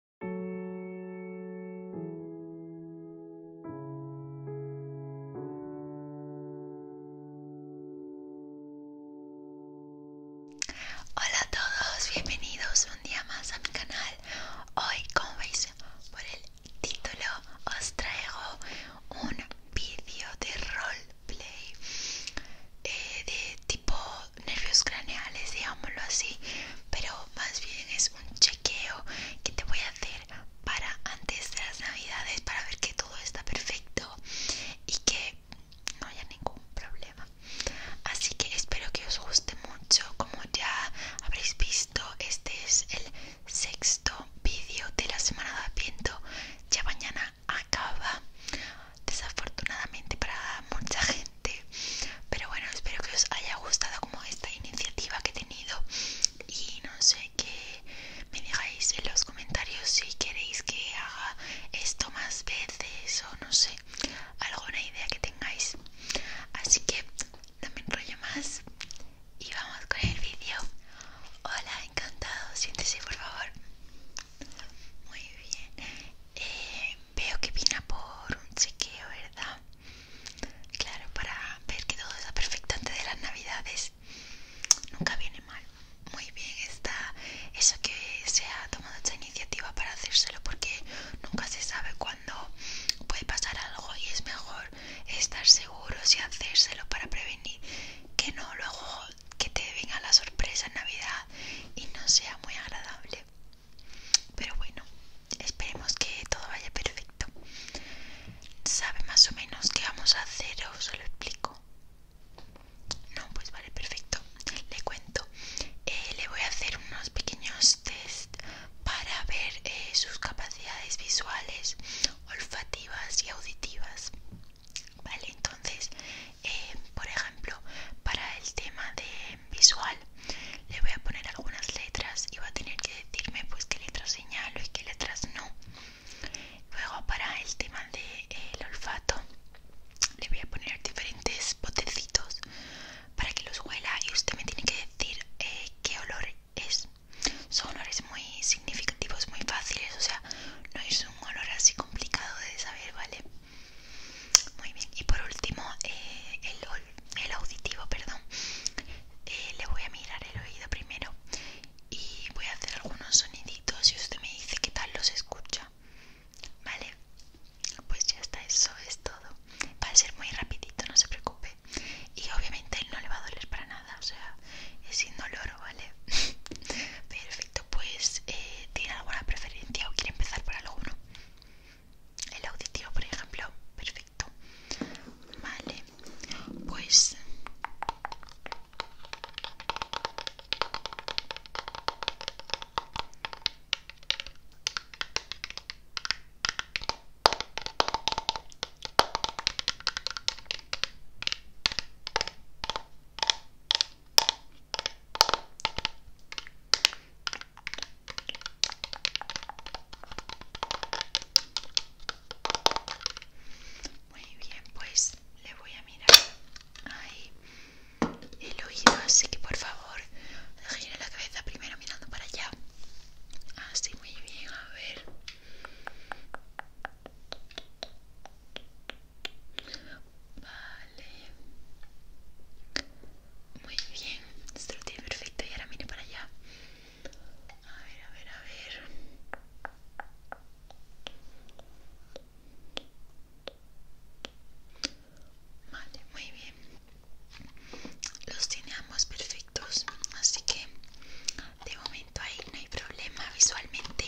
Hola a todos, bienvenidos un día más a mi canal. Hoy, como veis por el título, os traigo un vídeo de roleplay eh, de tipo nervios craneales, digámoslo así, pero más bien es un chequeo que te voy a hacer para antes de las navidades para ver que todo está perfecto y que no haya ningún problema. Así que espero que os guste mucho. Como ya habréis visto, este es el sexto vídeo de la semana de aviento Ya mañana acaba. Desafortunadamente para mucha gente pero bueno espero que os haya gustado como esta iniciativa que he tenido y no sé que me dejáis en los comentarios si queréis que haga esto más veces o no sé alguna idea que tengáis así que no me enrollo más y vamos con el vídeo hola encantado siéntese por favor muy bien eh, veo que vino por un chequeo, ¿verdad? Claro, para ver que todo está perfecto antes de las navidades. Nunca viene mal. Muy bien, está eso que se ha tomado esta iniciativa para hacérselo porque nunca se sabe cuándo puede pasar algo y es mejor estar seguros y hacérselo para prevenir que no luego que te venga la sorpresa en Navidad y no sea muy agradable. Pero bueno, esperemos que todo vaya perfecto. ¿Sabe más o menos qué vamos a hacer o se lo explico? No, pues vale, perfecto. Le cuento. Eh, le voy a hacer unos pequeños test para ver eh, sus capacidades visuales, olfativas y auditivas. Vale, entonces eh, por ejemplo para el tema de visual le voy a poner algunas letras y va a tener que decirme pues qué letras señalo y qué letras no luego para el tema del de, eh, olfato le voy a poner diferentes botecitos para que los huela y usted me tiene que decir eh, qué olor es son olores muy significativos muy fáciles o sea no es un olor así complicado de saber vale muy bien, y por último, eh, el, auditivo, perdón. Eh, le voy a mirar el oído primero y voy a hacer algunos soniditos y usted me dice qué tal los escucha. Vale, pues ya está, eso es todo. Va a ser muy rapidito, no se preocupe. Y obviamente no le va a doler para nada, o sea, es indoloro, ¿vale? Perfecto pues eh, ¿tiene alguna preferencia o quiere empezar por alguno? El auditivo, por ejemplo, perfecto. Vale, pues... Muy bien, pues le voy a mirar ahí el oído, así que por favor gire la cabeza primero mirando para allá. Así, ah, muy bien, a ver. Vale. Muy bien. Esto lo tiene perfecto. Y ahora mire para allá. A ver, a ver, a ver. Vale, muy bien. Los tiene ambos perfectos. Así que de momento ahí no hay problema visualmente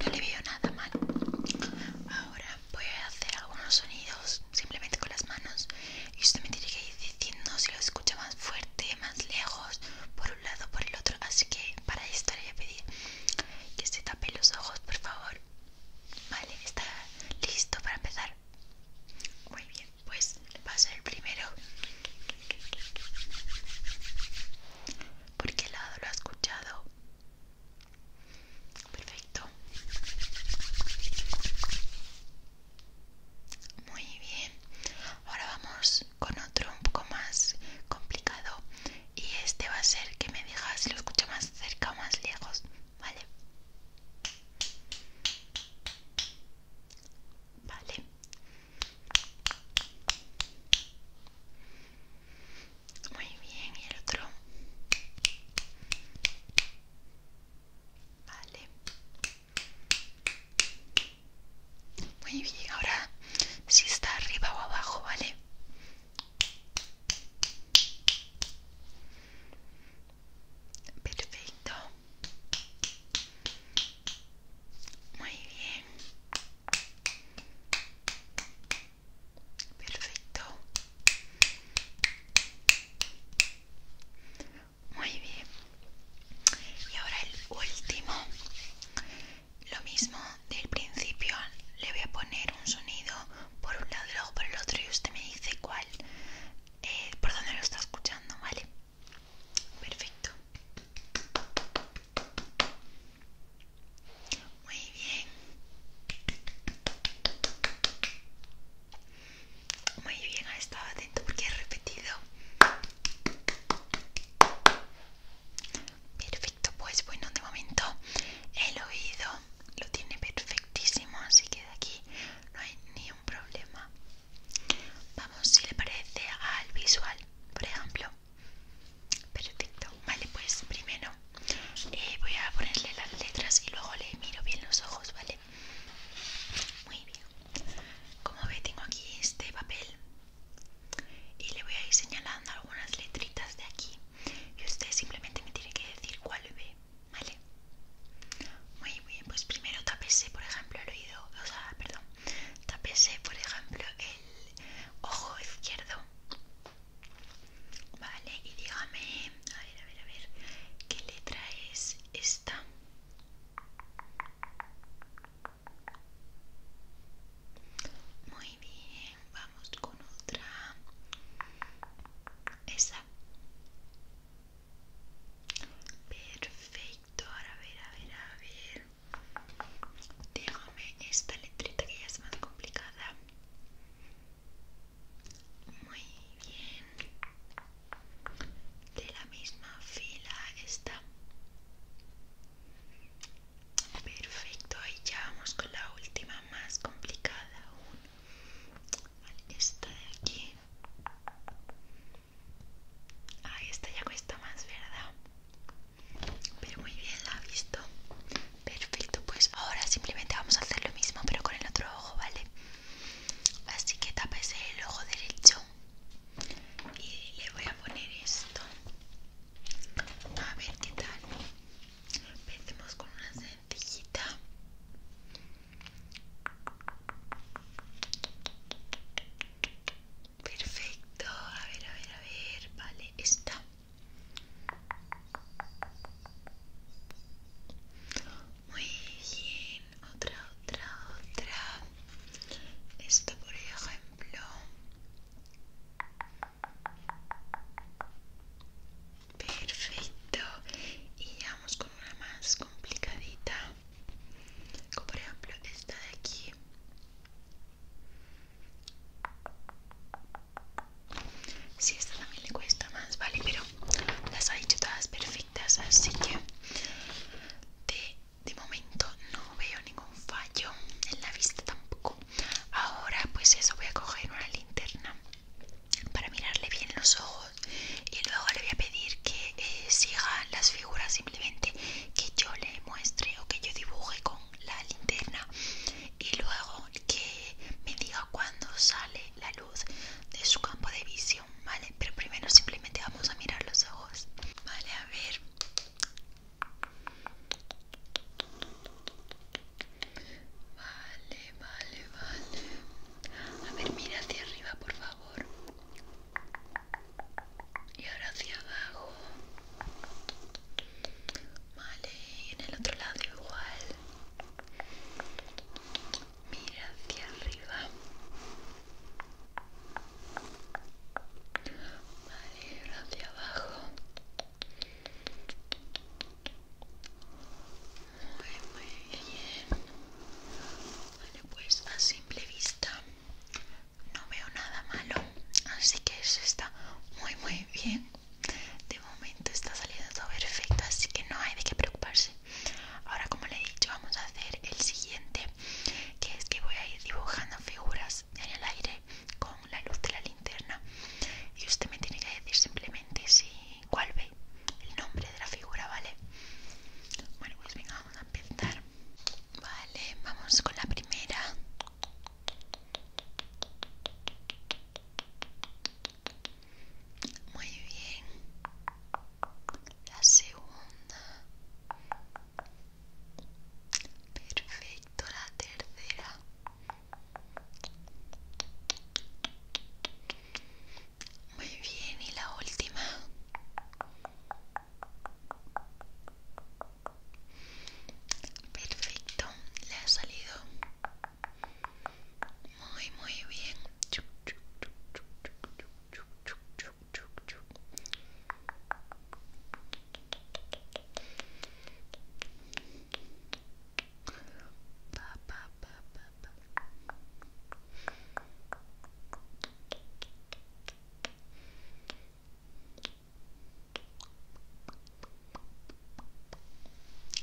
no le veo nada mal. Ahora voy a hacer algunos sonidos simplemente con las manos y usted me tiene que ir diciendo si lo escucha más fuerte, más lejos, por un lado, por el otro. Así que para esto le voy a pedir que se tape los ojos, por favor. Vale, está listo para empezar. Muy bien, pues va a el primero. ¿Por qué lado lo ha escuchado? Perfecto. Muy bien. Ahora vamos con otro un poco más complicado. Y este va a ser que me digas si lo escucho más cerca o más lejos. Vale. Vale. Muy bien, y el otro. Vale. Muy bien, ahora si está arriba o abajo, ¿vale? Perfecto. Muy bien perfecto muy bien y ahora el último lo mismo del principio le voy a poner un sonido por un lado y luego por el otro y usted me dice cuál eh, por dónde lo está escuchando vale perfecto muy bien. Muy bien, ha estado atento porque he repetido. Perfecto, pues bueno, de momento el oído lo tiene perfectísimo, así que de aquí no hay ni un problema. Vamos, si le parece al visual, por ejemplo perfecto vale pues primero eh, voy a ponerle las letras y luego le miro bien los ojos vale muy bien como ve tengo aquí este papel y le voy a ir señalando algunas letritas de aquí y usted simplemente me tiene que decir cuál ve vale muy bien pues primero tapese por ejemplo el oído o sea perdón Tapese, por ejemplo, el ojo izquierdo. Vale, y dígame, a ver, a ver, a ver, ¿qué letra es esta? Muy bien, vamos con otra. Esa. Perfecto, ahora a ver, a ver, a ver. Déjame esta letrita que ya es más complicada. Muy bien. De la misma fila está. Perfecto, y ya vamos con la última más complicada aún. esta de aquí. Ah, esta ya cuesta más, ¿verdad? Pero muy bien, la ha visto. Perfecto, pues ahora simplemente vamos a hacer lo mismo, pero con el otro ojo, ¿vale? Así que tapese el ojo derecho y le voy a poner esto. A ver qué tal. Empecemos con una sencillita. Perfecto, a ver, a ver, a ver, vale, está. Muy bien, otra, otra, otra. Esta, por ejemplo. Perfecto. Y vamos con una más complicadita. Como por ejemplo esta de aquí. Sí, esta también le cuesta más, vale, pero las ha dicho todas perfectas, así que de, momento no veo ningún fallo en la vista tampoco. Ahora pues eso, voy a coger una linterna para mirarle bien los ojos y luego le voy a pedir que eh, siga las figuras simplemente que yo le muestre o que yo dibuje con la linterna y luego que me diga cuándo sale la luz de su campo de visión, ¿vale? Pero primero simplemente vamos a mirar los ojos, ¿vale? A ver. Vale, vale, vale. A ver, mira hacia arriba, por favor y ahora hacia abajo vale y en el otro lado igual mira hacia arriba vale y ahora hacia abajo muy muy bien Vale, pues a simple vista no veo nada malo así que eso está muy muy bien de momento está saliendo todo perfecto así que no hay de qué preocuparse ahora como le he dicho vamos a hacer el siguiente que es que voy a ir dibujando figuras en el aire con la luz de la linterna y usted me tiene que decir simplemente si cuál ve el nombre de la figura vale bueno pues venga vamos a empezar Vale, vamos con la primera. Muy bien. La segunda. Perfecto, la tercera. Muy bien, y la última. Perfecto, le ha salido muy muy bien.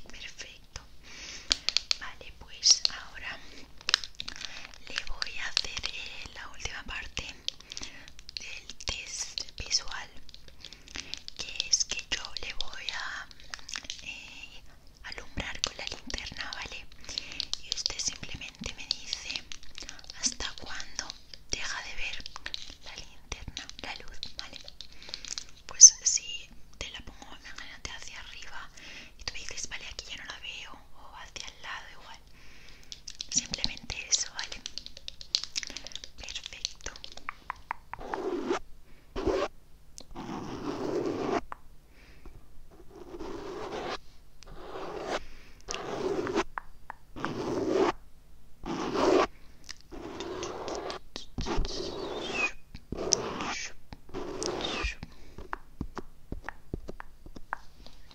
Perfecto. Vale, pues ahora le voy a hacer eh, la última parte del test visual, que es que yo le voy a eh, alumbrar con la linterna, ¿vale? Y usted simplemente me dice hasta cuándo deja de ver la linterna, la luz, ¿vale? Pues si te la pongo, adelante hacia arriba y tú dices, vale, aquí ya no la veo, o hacia el lado igual. Simplemente eso, ¿vale? Perfecto.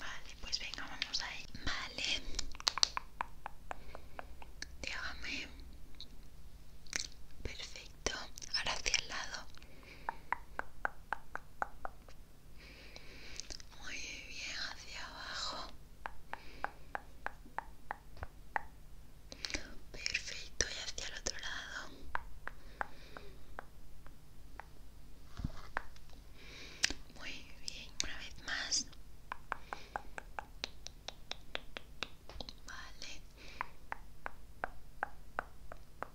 Vale, pues venga, vamos ahí. Vale. Déjame. Perfecto. Ahora hacia el lado muy bien hacia abajo perfecto y hacia el otro lado muy bien una vez más vale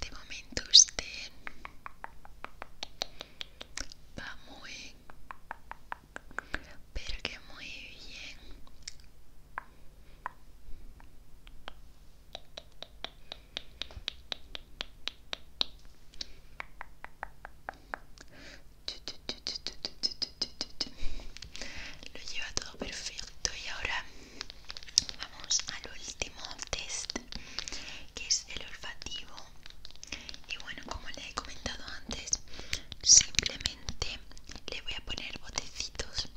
De momento usted va muy, pero que muy bien. Lo lleva todo perfecto y ahora vamos al último test que es el olfativo. Y bueno, como les he comentado antes, simplemente le voy a poner botecitos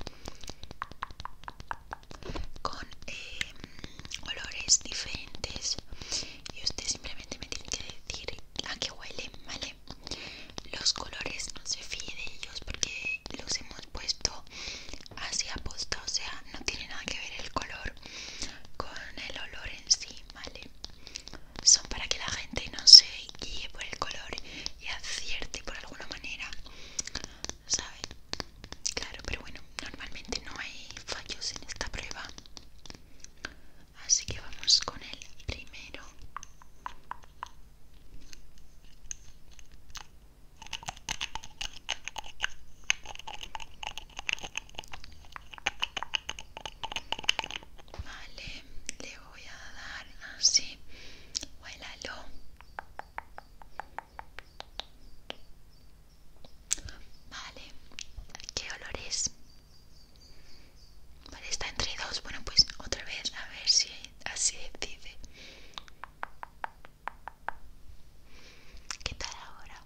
con colores eh, olores diferentes y usted simplemente me tiene que decir a qué huele, ¿vale? Los colores no se fíe de ellos porque los hemos puesto así aposta, o sea, no tiene nada que ver el color con el olor en sí, ¿vale? Son para que la gente no se guíe por el color y acierte por alguna manera ¿saben? Claro, pero bueno, normalmente no hay fallos en esta prueba. Así que vamos con el primero. Vale, le voy a dar así. Huélalo. Vale, ¿qué olor es? Vale, está entre dos. Bueno, pues otra vez, a ver si así dice. ¿Qué tal ahora?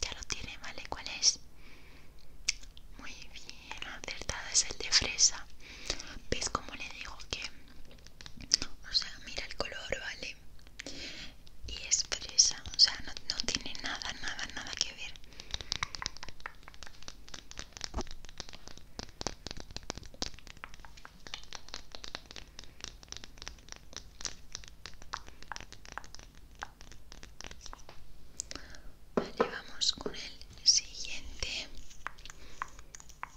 Ya lo tiene, ¿vale? ¿Cuál es? Muy bien, acertado es el de fresa. ¿Ves cómo le digo que o sea mira el color vale y es fresa o sea no, no tiene nada nada nada que ver Vale, vamos con el siguiente. Vale.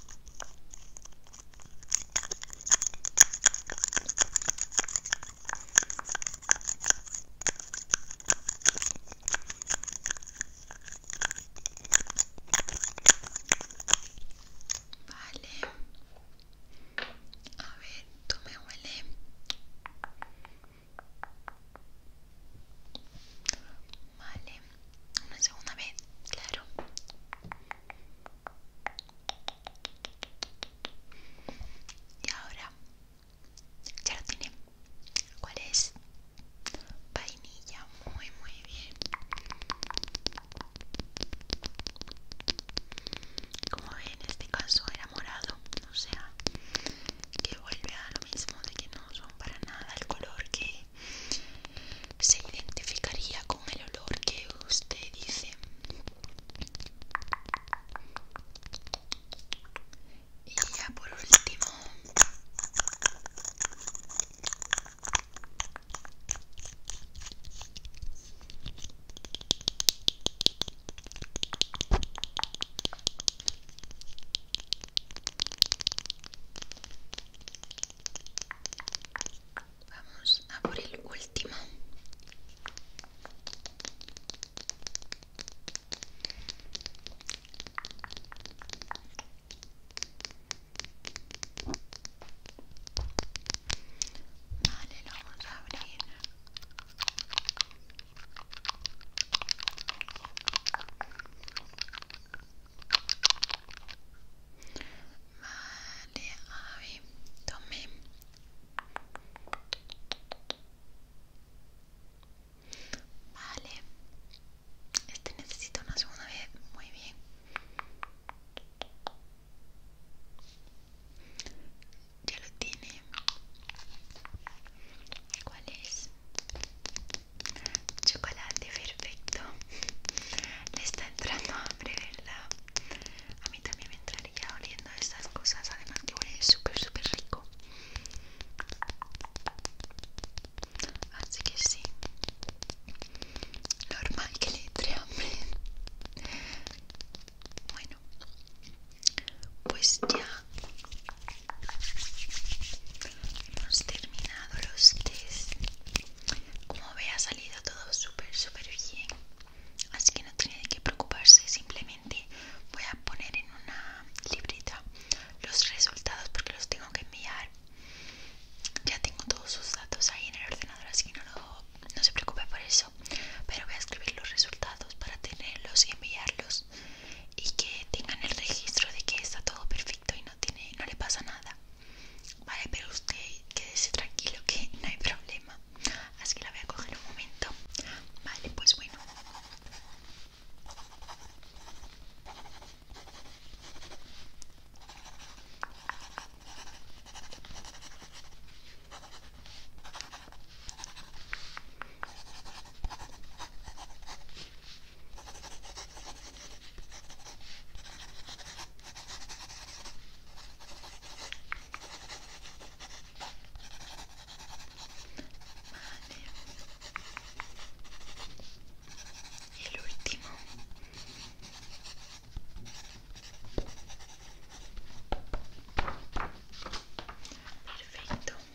A ver, tú me huele. Vale una segunda vez, claro. Y ahora ya tiene. ¿Cuál es? Vainilla, muy muy bien. Como ven, en este caso era morado, o sea, que vuelve a lo mismo de que no son para nada el color que se identificaría con el olor que usted dice y ya por último Vamos a por el último. Vale, lo vamos a abrir. Vale, Avi, tome. Vale. Este necesito una segunda vez. Muy bien. Ya lo tiene. ¿Cuál es? Chocolate, perfecto. Le está entrando hambre, ¿verdad? A mí también me entraría oliendo estas cosas, además que huele súper, súper rico. Así que sí. Normal que le entre hambre. Bueno, pues ya Hemos terminado los test. Como ve, ha salido todo súper, súper bien. Así que no tiene que preocuparse. Simplemente voy a poner en una librita los resultados porque los tengo que enviar. Ya tengo todos sus datos ahí en el ordenador, así que no se preocupe por eso. Pero voy a escribir los resultados para tenerlos y enviarlos y que tengan el registro de que está todo perfecto y no tiene no le pasa nada vale pero usted quédese tranquilo que no hay problema así que la voy a coger un momento vale pues bueno Vale. El último. Perfecto.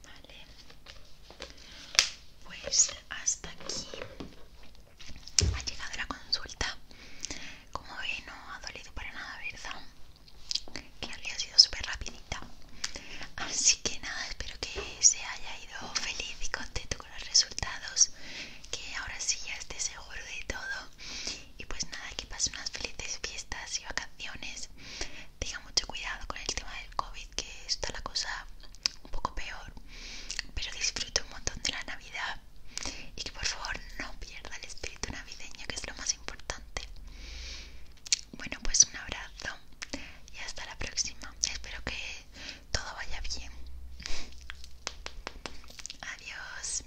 Vale, pues hasta aquí ha llegado la consulta. Como ve, no ha dolido para nada, ¿verdad? Que ha sido súper rapidita. Así que nada, espero que se haya ido feliz y contento con los resultados. Que ahora sí ya esté seguro de todo. Y pues nada, que pasen unas felices fiestas y vacaciones. Tenga mucho cuidado con el tema del COVID que está la cosa un poco peor, pero disfruto un montón de la Navidad y que por favor no pierda el espíritu navideño, que es lo más importante. Bueno, pues un abrazo y hasta la próxima. Espero que todo vaya bien. Adiós.